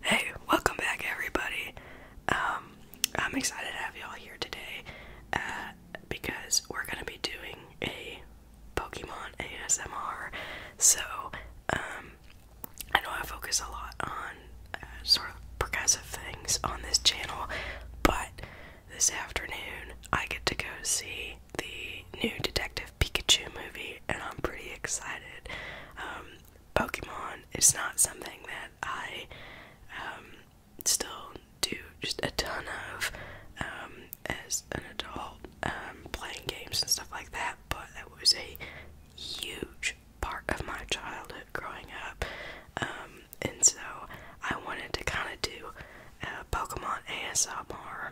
Hey, welcome back, everybody. Um, I'm excited to have y'all here today uh, because we're gonna be doing a Pokemon ASMR. So, um, I know I focus a lot on uh, sort of progressive things on this channel, but this afternoon I get to go see the new Detective Pikachu movie, and I'm pretty excited. Um, Pokemon is not something that I um, still do just a ton of um, as an adult, playing games and stuff like that, but that was a huge part of my childhood growing up. and so I wanted to kind of do uh, Pokemon ASMR.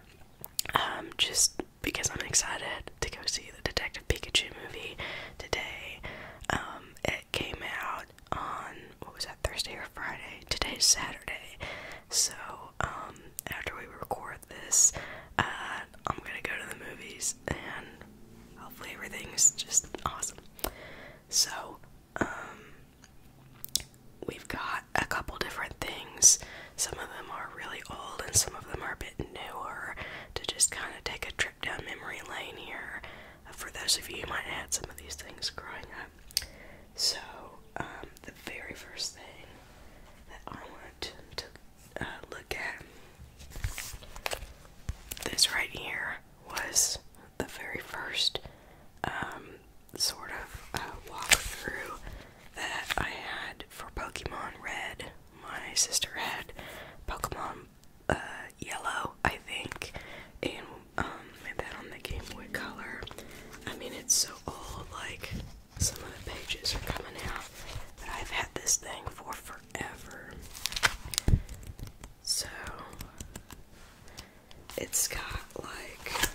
Um, just because I'm excited to go see the Detective Pikachu movie today. Um, it came out on what was that Thursday or Friday? Today's Saturday, so um, after we record this, uh, I'm gonna go to the movies and hopefully everything's just awesome. So, um, we've got a couple different things some of them are really old and some of them are a bit newer to just kind of take a trip down memory lane here. Uh, for those of you who might have some of these things growing up. So, um, the very first thing that I want to, uh, look at, this right here was the very first um, sort of uh, walkthrough that I had for Pokemon Red my sister had Pokemon uh, Yellow, I think, and that um, on the Game Boy Color. I mean, it's so old, like, some of the pages are coming out, but I've had this thing for forever. So, it's got like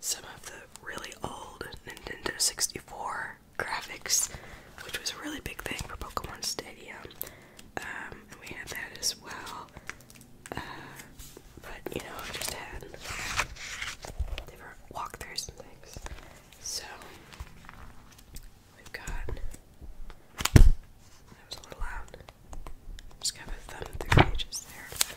some of the really old Nintendo 64 graphics, which was a really big thing for Pokemon Stadium. Um, and we had that as well. Uh, but you know, just had different walkthroughs and things. So we've got that was a little loud. Just kind of thumb through pages there.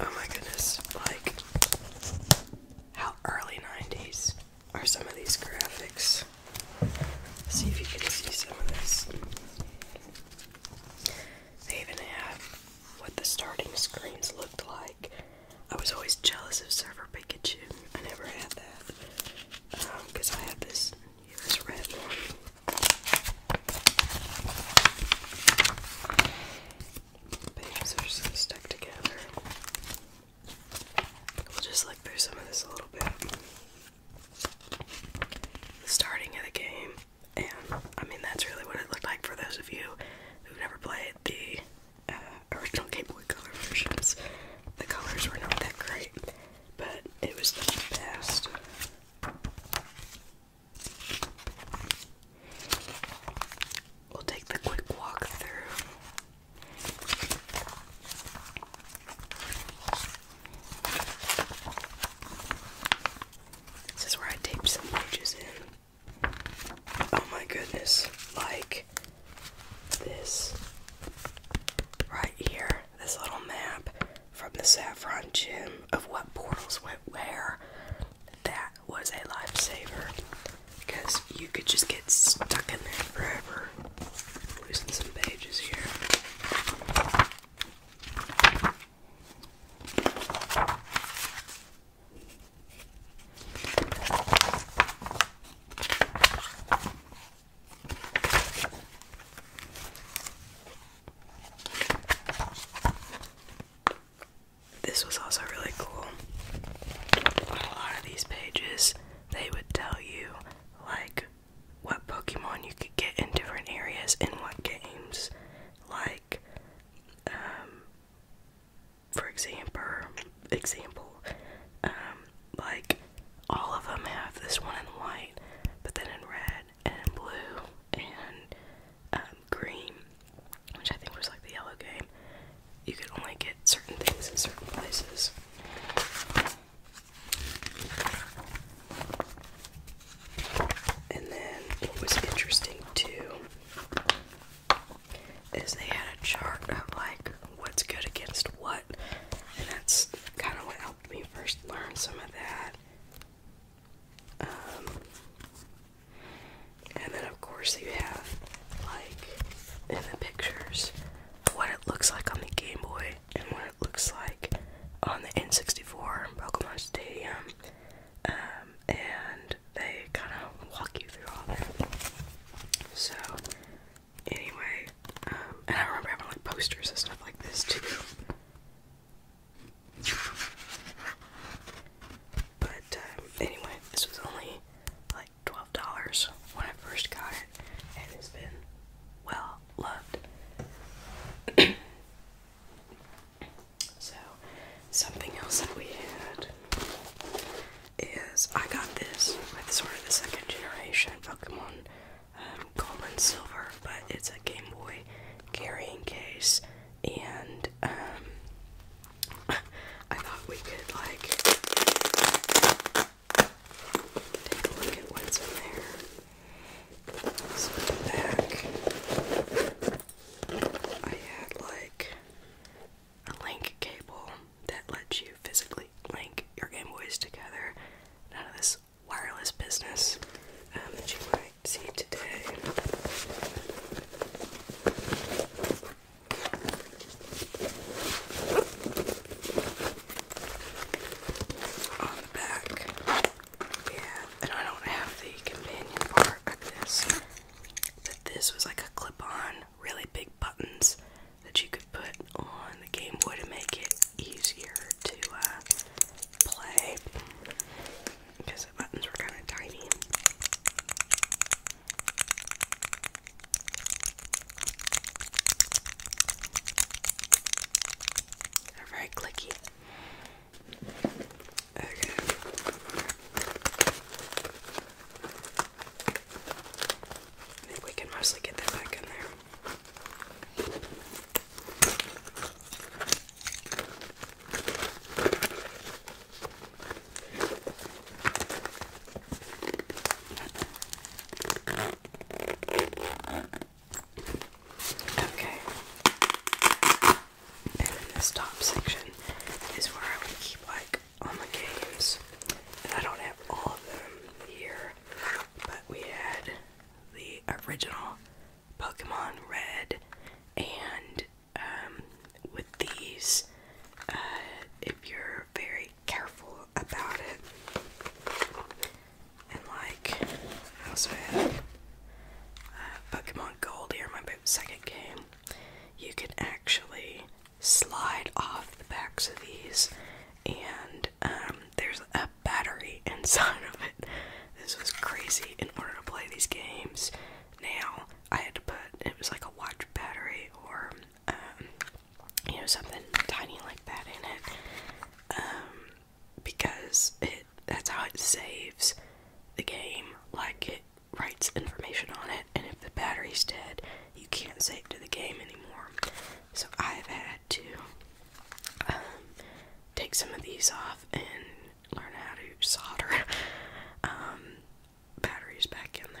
Oh my goodness, like how early 90s are some of these graphics? see if you can see some of this. They even have what the starting screens looked like. I was always jealous of Server Pikachu. I never had that. Because um, I had this here's red one pages are so stuck together. We'll just look through some of this a little bit. starting of the game, and I mean, that's really what it looked like for those of you who never played the uh, original Game Boy Color versions. The colors were not that great, but it was the best. We'll take the quick walk This is where I taped some pages in. Oh my goodness, like this right here, this little map from the Saffron Gym of what portals went where that was a lifesaver because you could just get stuck in there forever. losing some pages here this was also really cool. a lot of these pages, they would tell you like what Pokemon you could get in different areas in what games. Like, um, for example, example, um, like all of them have this one in white, but then in red and blue and um, green, which I think was like the yellow game. You could only get certain things in certain places. And then what was interesting too is they had a chart of like what's good against what, and that's kind of what helped me first learn some of that. Um, and then, of course, you have, like, in the pictures, what it looks like on the Game Boy and what it looks like on the N64 and Pokemon Stadium. Um, and they kind of walk you through all of that. So, anyway, um, and I remember having, like, posters and stuff like this, too. But um, anyway, this was only like twelve dollars when I first got it, and it's been well loved. so, something else that we had is I got this with sort of the second generation Pokemon um, Gold and Silver, but it's a Game Boy carrying case and um, I thought we could like take a look at what's in there. So in the back, I had like a link cable that lets you physically link your Game Boys together. None of this wireless business um, that you might see today. On the back, yeah, and I don't have the companion part of this, but this was like a clip on, really big buttons that you could put on the Game Boy to make it easier to uh, play the buttons were kind of tiny. They're very clicky. I think we can mostly get that back in there. Okay. And then this top section is where I would keep like all my games. And I don't have all of them here, but we had the original Pokemon Red and um, with these uh, if you're very careful about it. And like, I also have uh, Pokemon Gold here, my second game. You can actually slide off the backs of these, and um, there's a battery inside of it. This was crazy. In order to play these games, now I had to put it was like a watch battery or um, you know something tiny like that in it um, because it that's how it saves the game like it writes information on it and if the battery's dead you can't save to the game anymore so I've had to um, take some of these off and learn how to solder um, batteries back in there.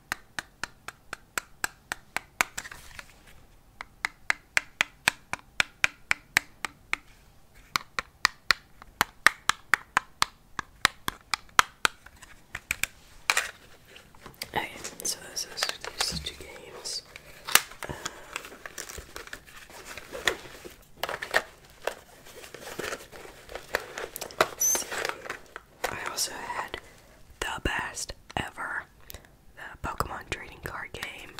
Okay, so those are these two games. Um, let's see. I also had the best ever the Pokemon trading card game.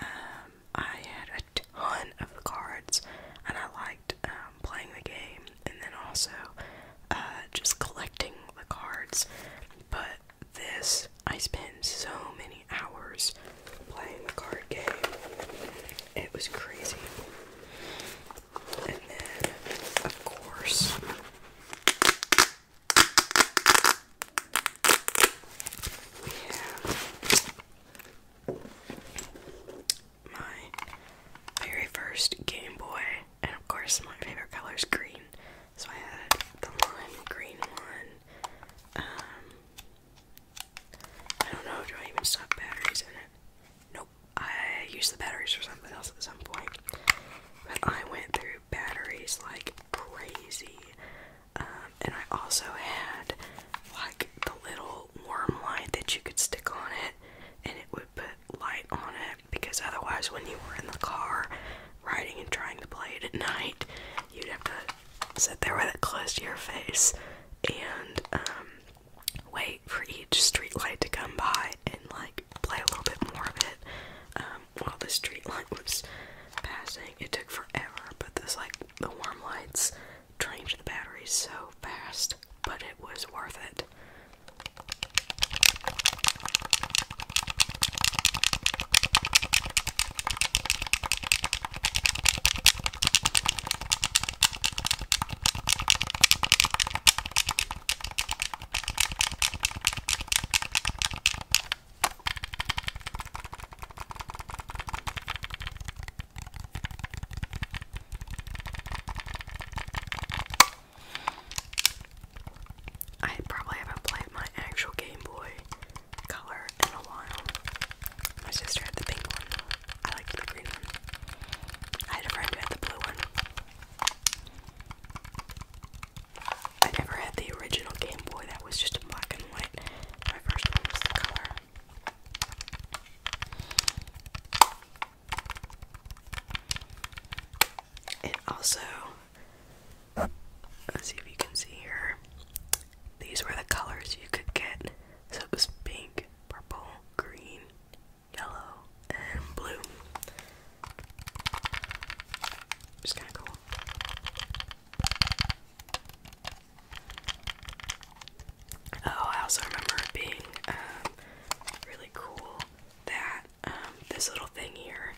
Um, I had a ton of the cards, and I liked um, playing the game, and then also uh, just collecting the cards. But this, I spent so many hours playing the card game. It was crazy. And then, of course, my very first Game Boy, and of course, my favorite color is green. So I had the lime green one. Um, I don't know, do I even stuff batteries in it? Nope. I used the batteries for something else at some point. But I went through batteries like crazy. Um, and I also had like the little worm light that you could stick on it and it would put light on it because otherwise, when you were in the car riding and trying to play it at night, you'd have to sit there with it close to your face and um, wait for each street light to come by and like play a little bit more of it. Um, while the street light was passing. It took forever, but this like the warm lights drained the batteries so fast, but it was worth it. I probably haven't played my actual Game Boy Color in a while. My sister had the pink one. I liked the green one. I had a friend who had the blue one. I never had the original Game Boy, that was just a black and white. My first one was the color. It also, let's see if you can see here, these were the colors you could get. So it was pink, purple, green, yellow, and blue. Just kind of cool. Oh, I also remember it being um, really cool that um, this little thing here,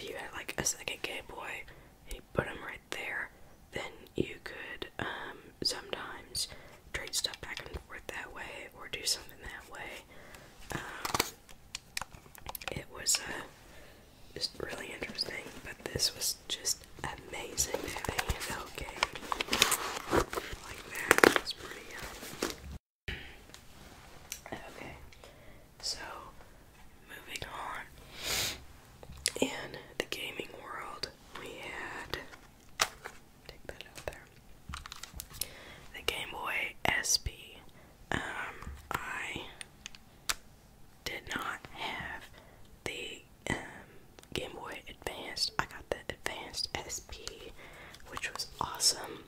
you had like a second Game Boy you put them right there, then you could um, sometimes trade stuff back and forth that way or do something that way. It was just uh, really interesting, but this was just amazing uh, Okay, so moving on. In the gaming world, we had The Game Boy SP. Um, I did not have the um, Game Boy Advanced. I got the Advanced SP, which was awesome.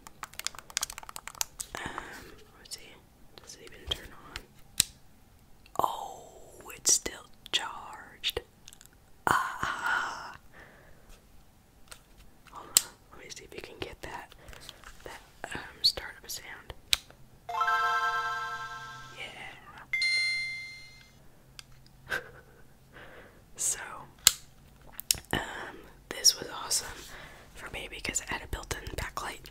Um, let's see, does it even turn on? Oh, it's still charged. Ah, let me see if you can get that that um, startup sound. Yeah. so um this was awesome for me because it had a built-in backlight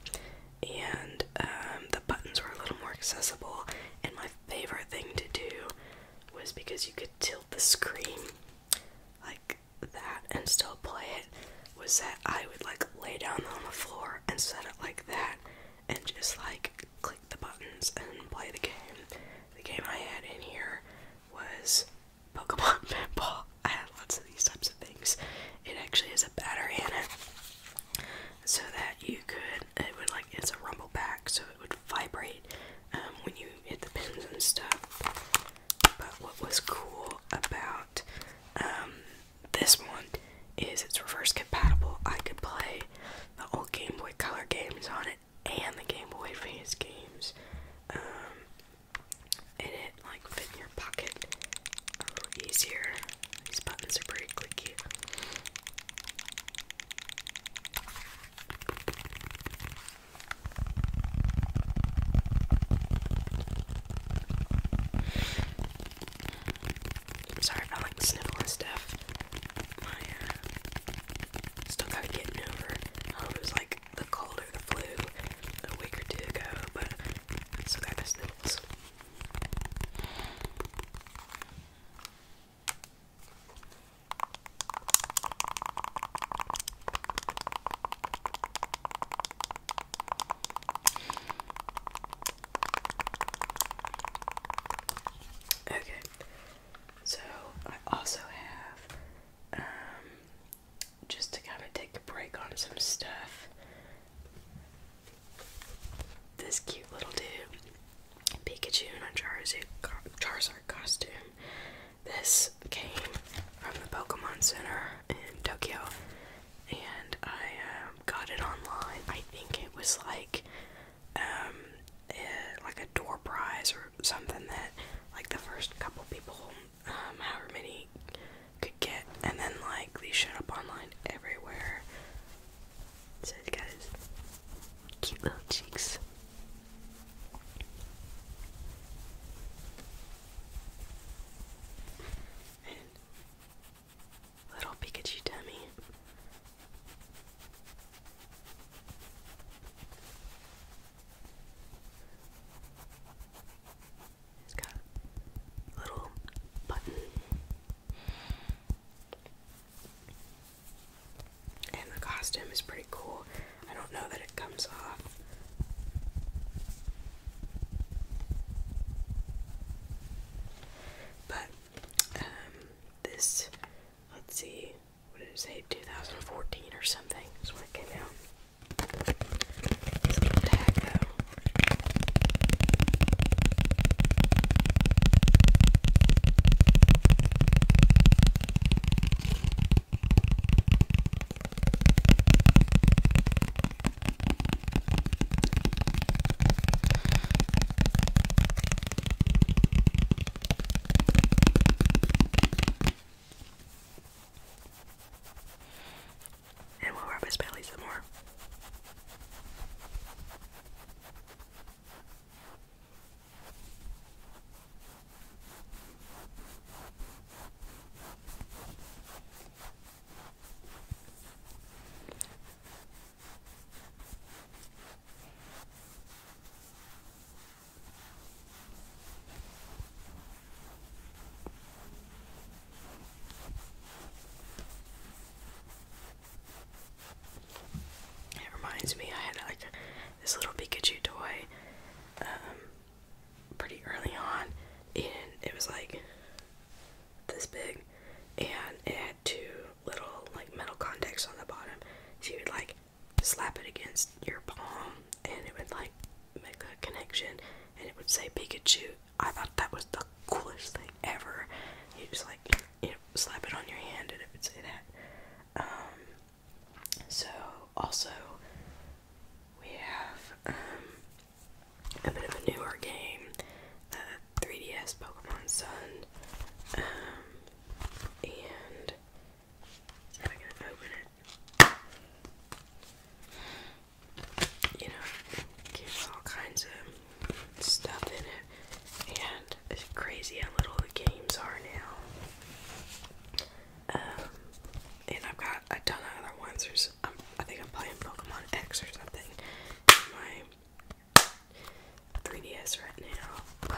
and um, the buttons were a little more accessible and my favorite thing to do was because you could tilt the screen like that and still play it was that I would like lay down on the floor and set it like that and just like click the buttons and play the game. The game I had in here was Pokemon Pinball. I had lots of these types of things. It actually has a battery in it so that you could, it would like, it's a rumble pack so it would vibrate um, when you hit the pins and stuff. But what was cool about um, this one is it's reverse compatible. I could play the old Game Boy Color games on it and the Game Boy Advance games. and um, it like fit in your pocket a little easier. These buttons are pretty clicky. I'm sorry if I like sniffle and stuff. Uh, still kind of getting over it was like the cold or the flu a week or two ago, but still got the sniffles. Okay, so I also have, um, just to kind of take a break on some stuff, this cute little dude, Pikachu in a Charizard, Charizard costume. This came from the Pokemon Center in Tokyo, and I um, got it online. I think it was like um, a, eh, like a door prize or something that like the first couple people, um, however many, could get, and then like they showed up online everywhere. So it cute little cheeks little Pikachu dummy. It's got little button. And the costume is pretty cool. I don't know that it comes off. But um, this, let's see, what did it say? 2014 or something is when it came out. This little tag though. And we'll rub his belly some more. It reminds me I had like this little Pikachu toy um, pretty early on, and it was like this big, and it had two little like metal contacts on the bottom. So you would like slap it against your palm, and it would like make a connection, and it would say Pikachu. I thought that was the coolest thing ever. You just like you know, slap it on your hand, and it would say that. Um, so also we have um, a bit of a newer game, uh, 3DS Pokemon Sun, um, and if I can open it, you know, it gives all kinds of stuff in it, and it's crazy how little the games are now. Um, and I've got a ton of other ones. There's, um, I think I'm playing Pokemon X or something in my 3DS right now.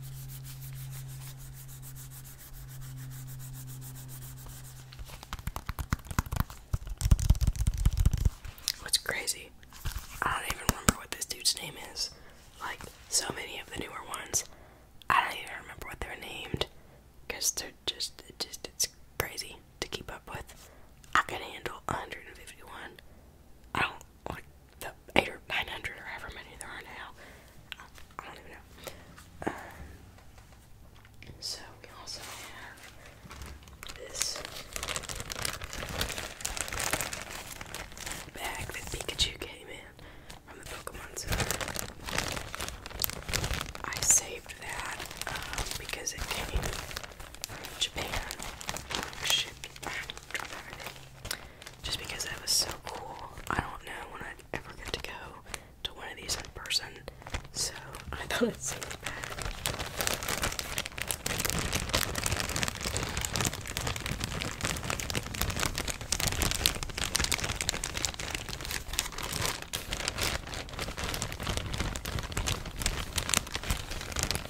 What's crazy? I don't even remember what this dude's name is. Like so many of the newer ones, I don't even remember what they're named. Cause they're just, just it's crazy to keep up with. I can handle 151. I don't like the eight or nine hundred or however many there are now. I, don't even know. Uh, so we also have this bag that Pikachu came in from the Pokemon Center. I saved that um, because it came from Japan. Shipped, ah, just because that was so cool. I don't know when I'd ever get to go to one of these in person, so I thought it would send it back.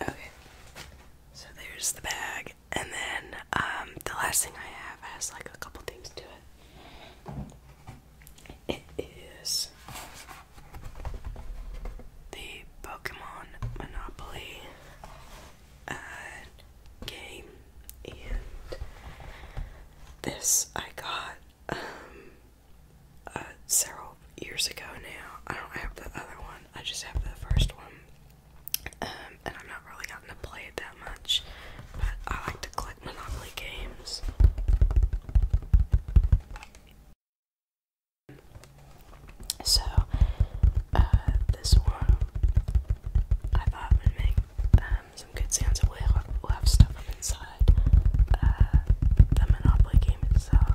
Okay, so there's the bag. And then um, the last thing I have has like a couple things to it. It is the Pokemon Monopoly uh, game, and this I got um, uh, several years ago now. I don't have the other one, I just have the first one. Um, and I'm not really gotten to play it that much, but I like to collect Monopoly games. So, uh, this one I thought would make um, some good sounds. We'll we'll have stuff inside uh, the Monopoly game itself.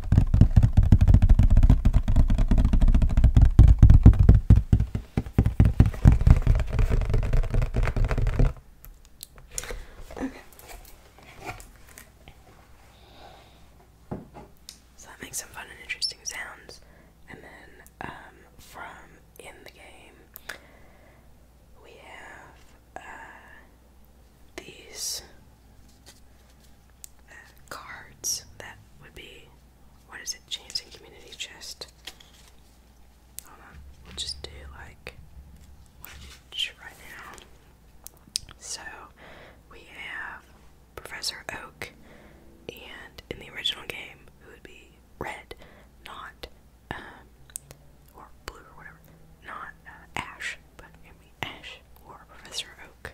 Okay. So that makes some fun and interesting sounds. And then um, from in the game, we have uh, these uh, cards that would be what is it? Chance and community chest. Hold on. We'll just do like one each right now. So we have Professor Oak, and in the original game, who would be red, not um, or blue or whatever, not uh, Ash, but it Ash or Professor Oak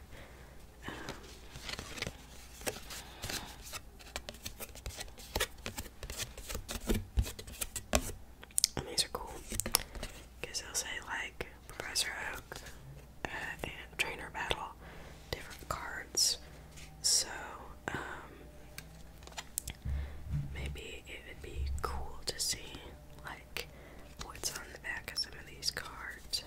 these are cool because they'll say like Professor Oak uh, and Trainer Battle, different cards. So um, maybe it would be cool to see like what's on the back of some of these cards.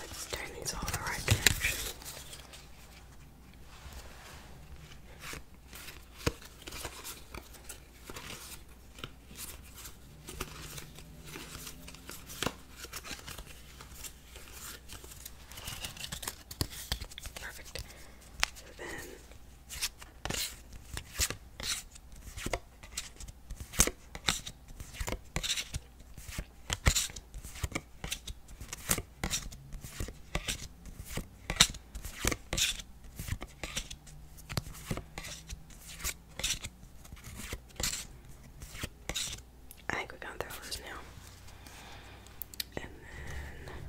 Let's turn these all the right direction. Perfect. And then I think we gone through all those now. And then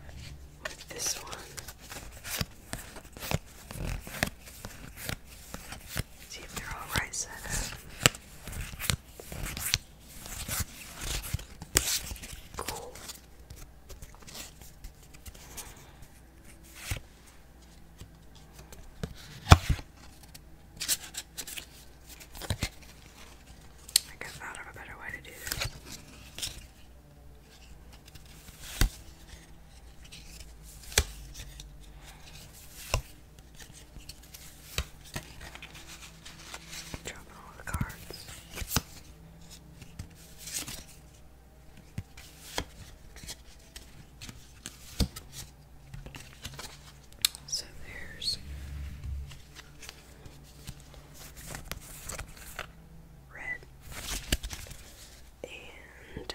with this one, see if they're all right set Cool. I guess I of a better way to do this. Dropping all the cards. So there's red and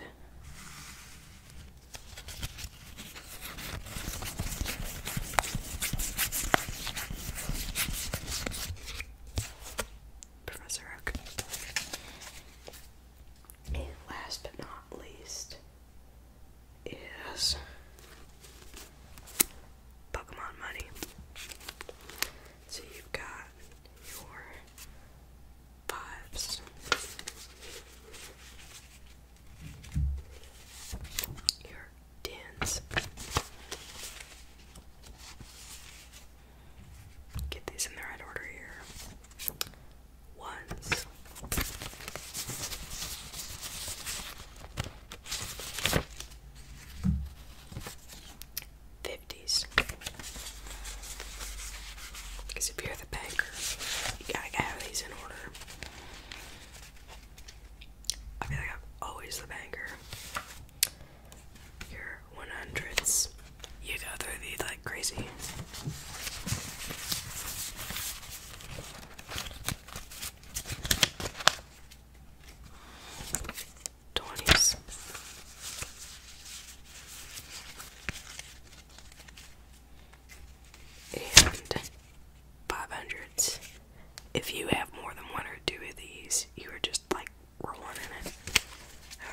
Professor Oak. And last but not least is Pokemon Money. So you've got your vibes. Your tins. Get these in the right order here. Ones. Fifties. Because if you're the banker, you gotta have these in order. I feel like I'm always the banger. Your 100s. You go through these like crazy. Twenties. And five hundreds if you have more than one or two of these, you are just like rolling in it.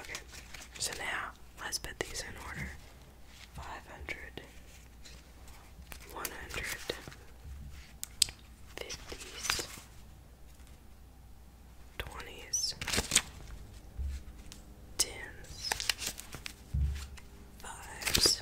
Okay, so now let's put these in order 500, 20s, 10s, 5s,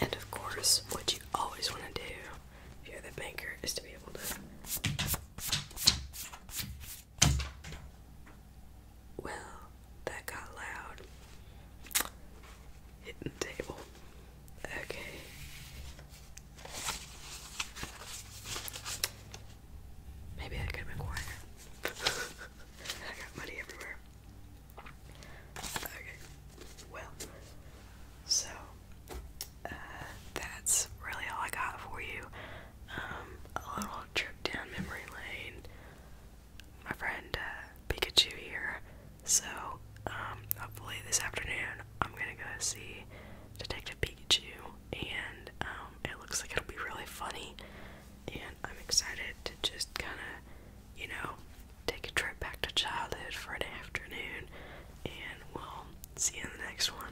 And of course, what you always want to do if you're the banker is to be able to. Well, that got loud. Hitting the table. Okay. Maybe I could have been quieter. I got money everywhere. Okay. Well, so uh, that's really all I got for you. Um, a little trip down memory lane. My friend uh, Pikachu here. So, um, hopefully this afternoon I'm gonna go see Detective Pikachu, and um, it looks like it'll be really funny and I'm excited to just kind of, you know, take a trip back to childhood for an afternoon, and we'll see you in the next one.